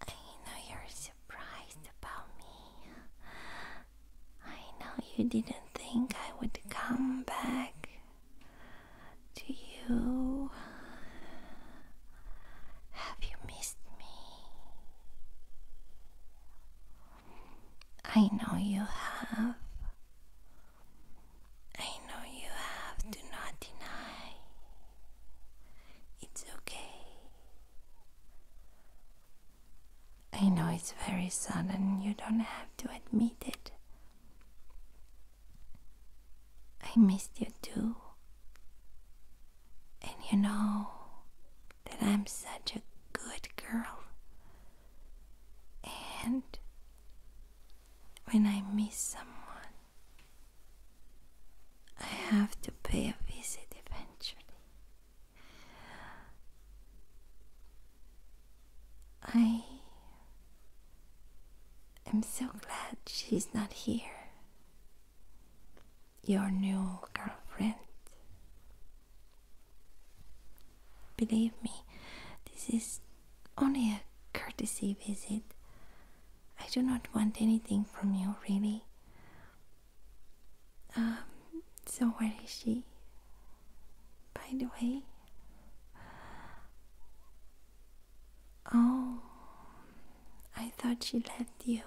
I know you're surprised about me. I know you didn't think I would come back to you. Have you missed me? I know you have. I know you have. Do not deny. It's okay. I know it's very sudden, you don't have to admit it. I missed you too. And you know that I'm such a good girl. And when I miss someone, I have to pay a visit eventually. I am so glad she's not here. Your new girlfriend. Believe me, this is only a courtesy visit. I do not want anything from you, really. Um, so where is she? By the way? Oh, I thought she left you.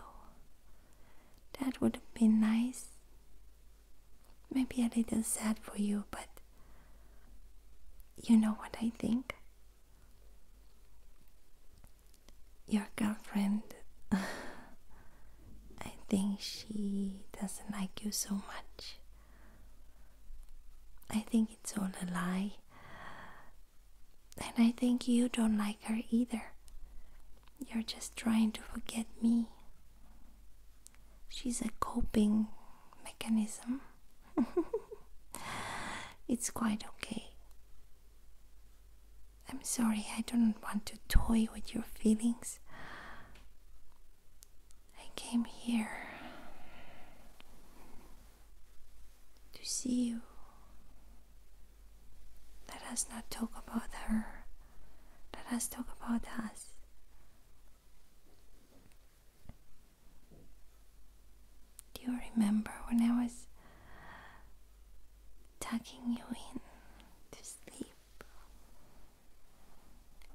That would have been nice. Maybe a little sad for you, but you know what I think? Your girlfriend, I think she doesn't like you so much. I think it's all a lie. And I think you don't like her either. You're just trying to forget me. She's a coping mechanism. it's quite okay. I'm sorry, I don't want to toy with your feelings. I came here to see you. Let us not talk about her. Let us talk about us. Do you remember when I was tucking you in to sleep.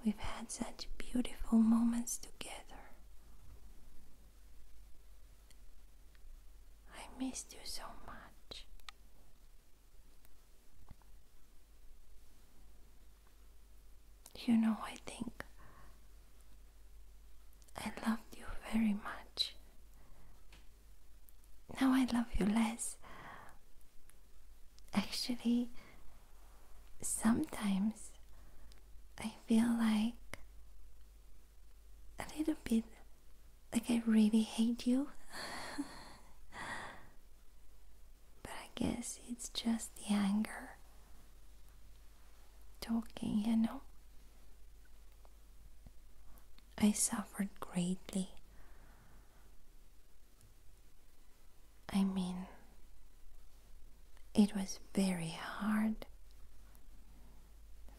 We've had such beautiful moments together. I missed you so much. You know, I think I loved you very much now I love you less. Actually, sometimes I feel like a little bit like I really hate you. but I guess it's just the anger talking, you know. I suffered greatly. I mean, it was very hard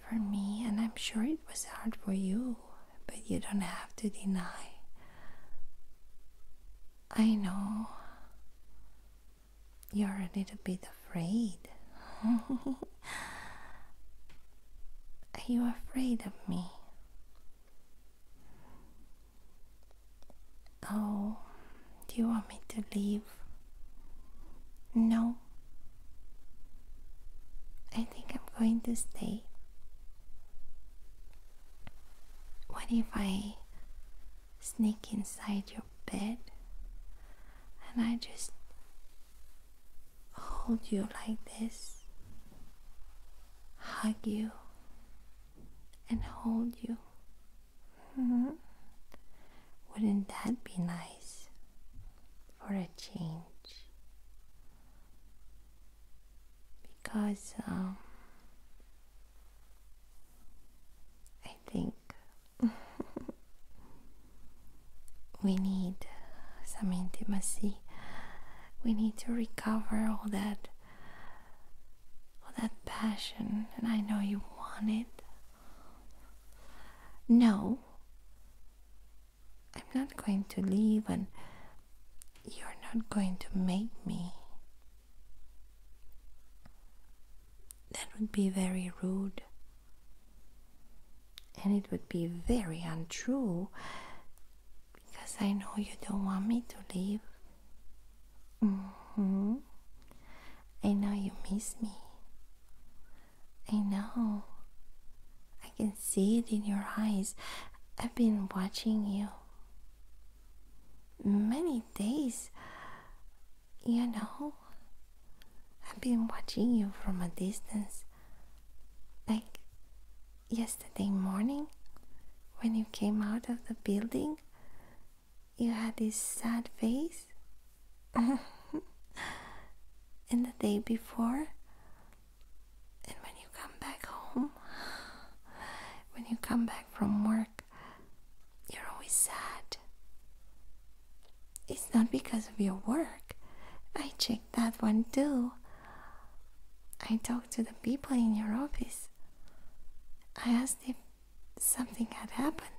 for me, and I'm sure it was hard for you, but you don't have to deny. I know you're a little bit afraid. Are you afraid of me? Oh, do you want me to leave? No. I think I'm going to stay. What if I sneak inside your bed and I just hold you like this, hug you, and hold you. Mm-hmm. Wouldn't that be nice for a change? Because um, I think we need some intimacy. We need to recover all that all that passion and I know you want it. No. I'm not going to leave and you're not going to make me. That would be very rude and it would be very untrue because I know you don't want me to leave. Mm-hmm. I know you miss me. I know. I can see it in your eyes. I've been watching you many days. You know, I've been watching you from a distance. Like yesterday morning, when you came out of the building, you had this sad face. and the day before, and when you come back home, when you come back from work, you're always sad. It's not because of your work. I checked that one too. I talked to the people in your office. I asked if something had happened.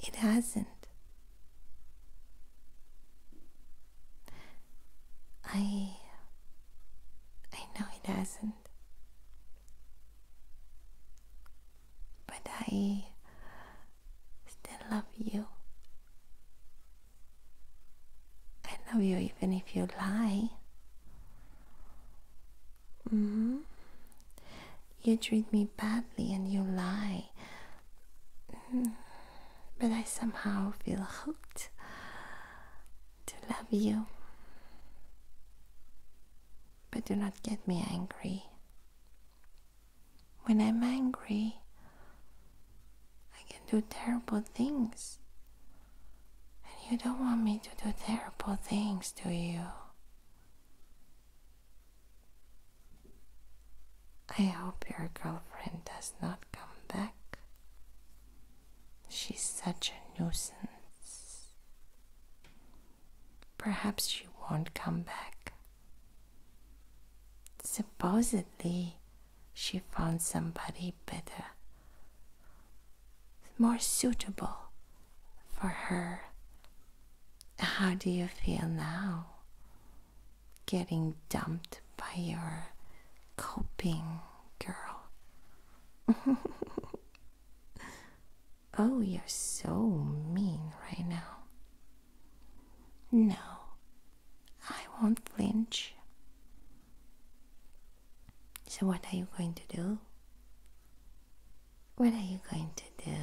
It hasn't. I. I know it hasn't. But I still love you. I love you even if you lie. Mm-hmm. You treat me badly and you lie. Mm. But I somehow feel hooked to love you but do not get me angry. When I'm angry, I can do terrible things. And you don't want me to do terrible things, do you? I hope your girlfriend does not come back. She's such a nuisance. Perhaps she won't come back. Supposedly, she found somebody better, more suitable for her. How do you feel now? Getting dumped by your coping girl. Oh, you're so mean right now. No, I won't flinch. So, what are you going to do? What are you going to do?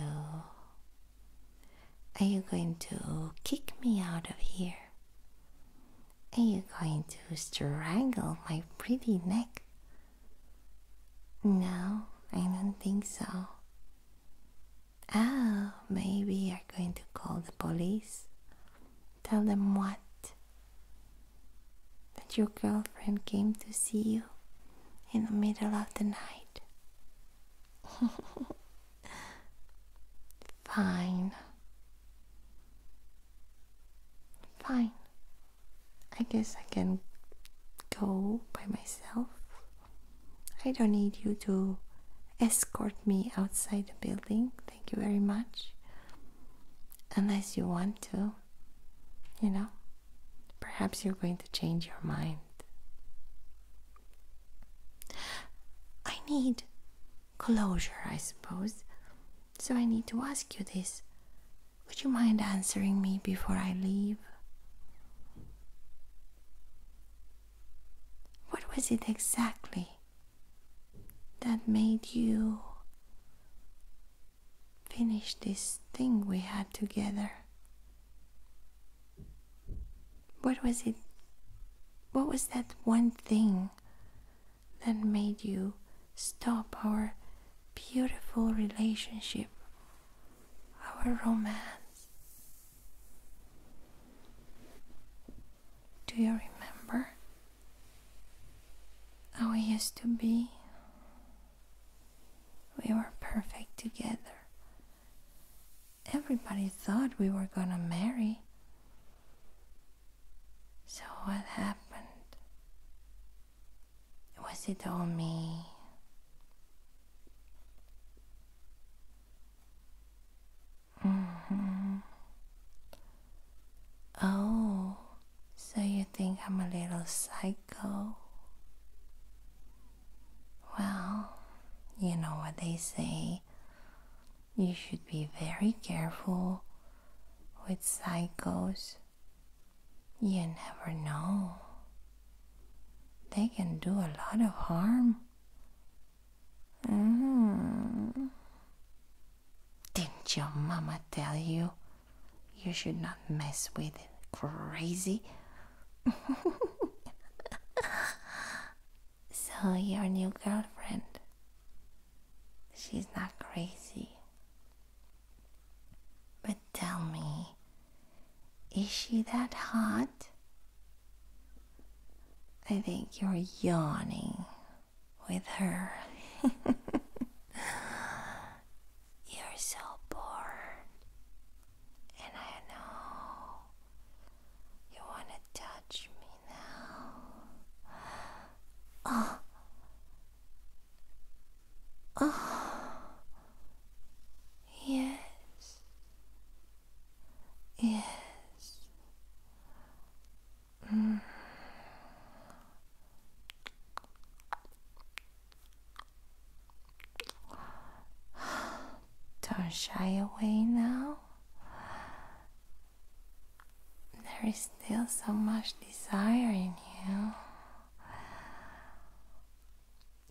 Are you going to kick me out of here? Are you going to strangle my pretty neck no, I don't think so. Oh, maybe you're going to call the police. Tell them what? That your girlfriend came to see you in the middle of the night. Fine. Fine. I guess I can go by myself. I don't need you to escort me outside the building. Thank you very much. Unless you want to, you know, perhaps you're going to change your mind. I need closure, I suppose. So I need to ask you this would you mind answering me before I leave? What was it exactly that made you finish this thing we had together? What was it? What was that one thing that made you stop our beautiful relationship our romance. Do you remember how we used to be? We were perfect together. Everybody thought we were gonna marry. So, what happened? Was it all me? Mm-hmm. Oh, so you think I'm a little psycho? Well, you know what they say. You should be very careful with psychos. You never know. They can do a lot of harm. Mm. Didn't your mama tell you you should not mess with Crazy. so, your new girlfriend, she's not crazy. But tell me, is she that hot? I think you're yawning with her. you're so bored. And I know you want to touch me now. Oh, Ah, yes, yes. Mm. Don't shy away now. There is still so much desire in you.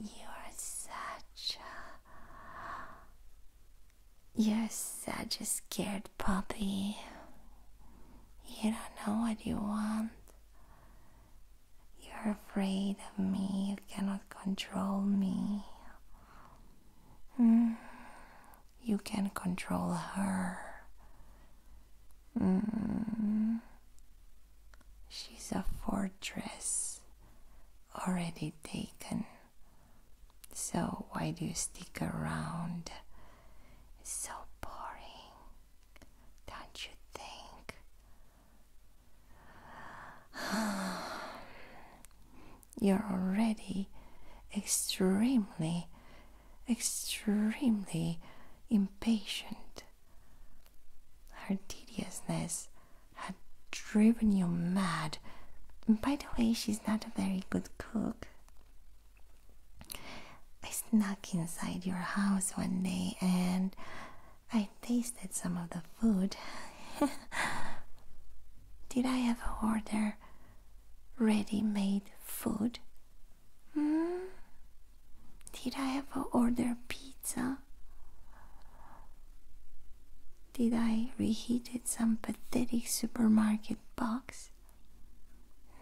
You are such a. You're such a scared puppy. You don't know what you want. You're afraid of me. You cannot control me. Mm. You can control her. Mm. She's a fortress already taken. So why do you stick around? It's so boring, don't you think? You're already extremely extremely impatient. Her tediousness had driven you mad. By the way, she's not a very good cook. I snuck inside your house one day and I tasted some of the food. Did I ever order ready made food Hmm? Did I ever order pizza? Did I reheated some pathetic supermarket box?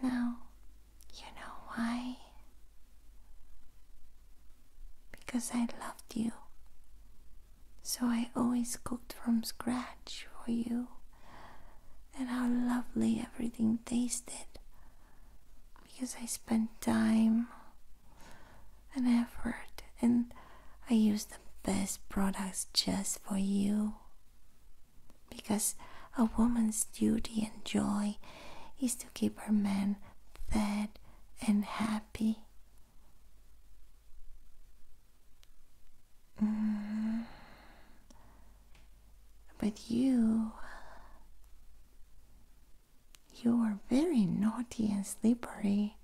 No. You know why? Because I loved you. So I always cooked from scratch for you. And how lovely everything tasted because I spent time and effort and I use the best products just for you. Because a woman's duty and joy is to keep her man fed and happy. Mm. But you. You are very naughty and slippery.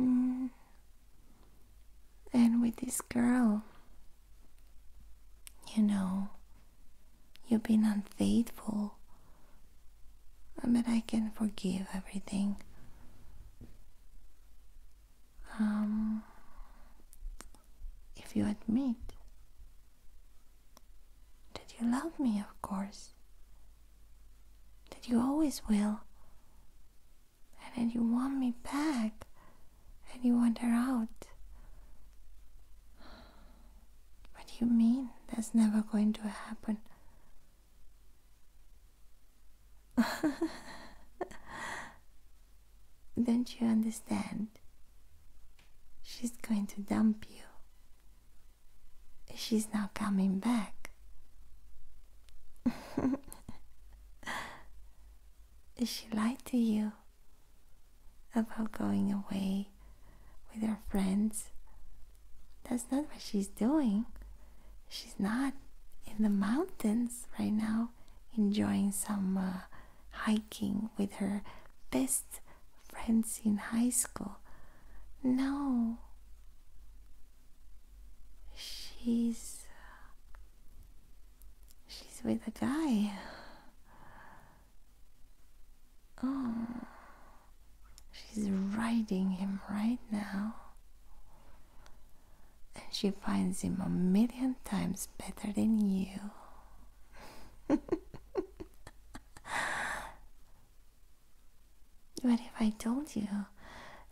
Mm. And with this girl, you know, you've been unfaithful. But I can forgive everything. Um, if you admit that you love me, of course. That you always will. And that you want me back. And you want her out. What do you mean? That's never going to happen. Don't you understand? She's going to dump you. She's not coming back. she lied to you about going away with her friends. That's not what she's doing. She's not in the mountains right now enjoying some. Uh, hiking with her best friends in high school. No. She's she's with a guy. Oh. She's riding him right now. And she finds him a million times better than you. what if I told you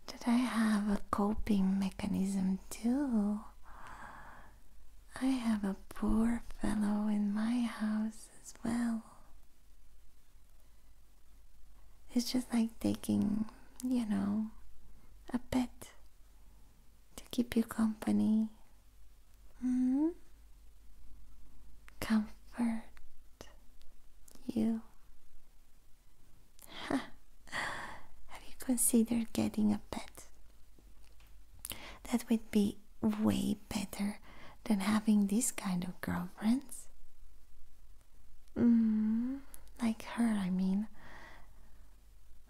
that I have a coping mechanism too? I have a poor fellow in my house as well. It's just like taking, you know, a pet to keep you company. Mm-hmm. Comfort you. Have you considered getting a pet? That would be way better than having this kind of girlfriends. Mm-hmm. like her, I mean.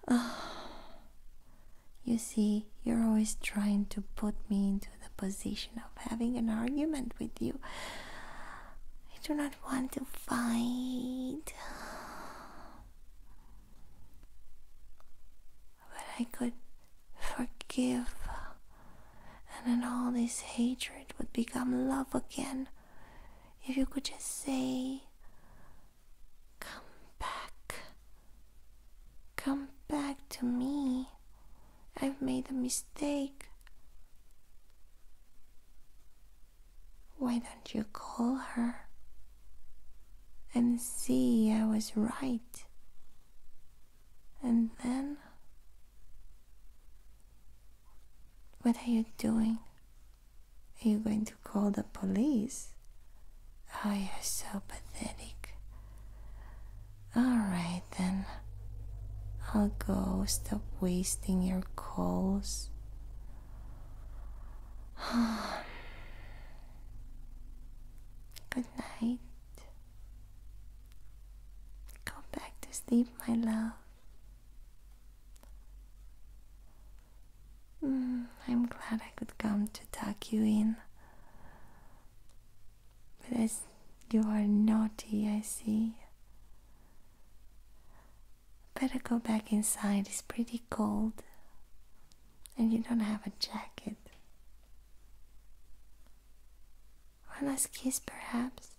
you see, you're always trying to put me into the position of having an argument with you. I do not want to fight. But I could forgive, and then all this hatred would become love again. If you could just say, Come back. Come back to me. I've made a mistake. Why don't you call her and see I was right? And then. What are you doing? Are you going to call the police? Oh, you're so pathetic. Alright then. I'll go. Stop wasting your calls. Good night. Go back to sleep, my love. Mm, I'm glad I could come to tuck you in. But as you are naughty, I see. Better go back inside, it's pretty cold. And you don't have a jacket. One last kiss, perhaps?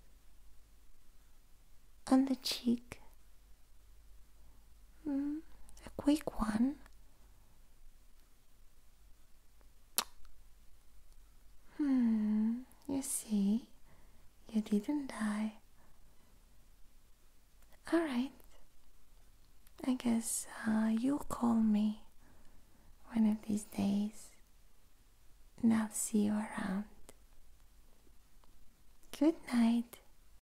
On the cheek? Mm, a quick one. Hmm, you see, you didn't die. Alright. I guess uh, you'll call me one of these days and I'll see you around. Good night.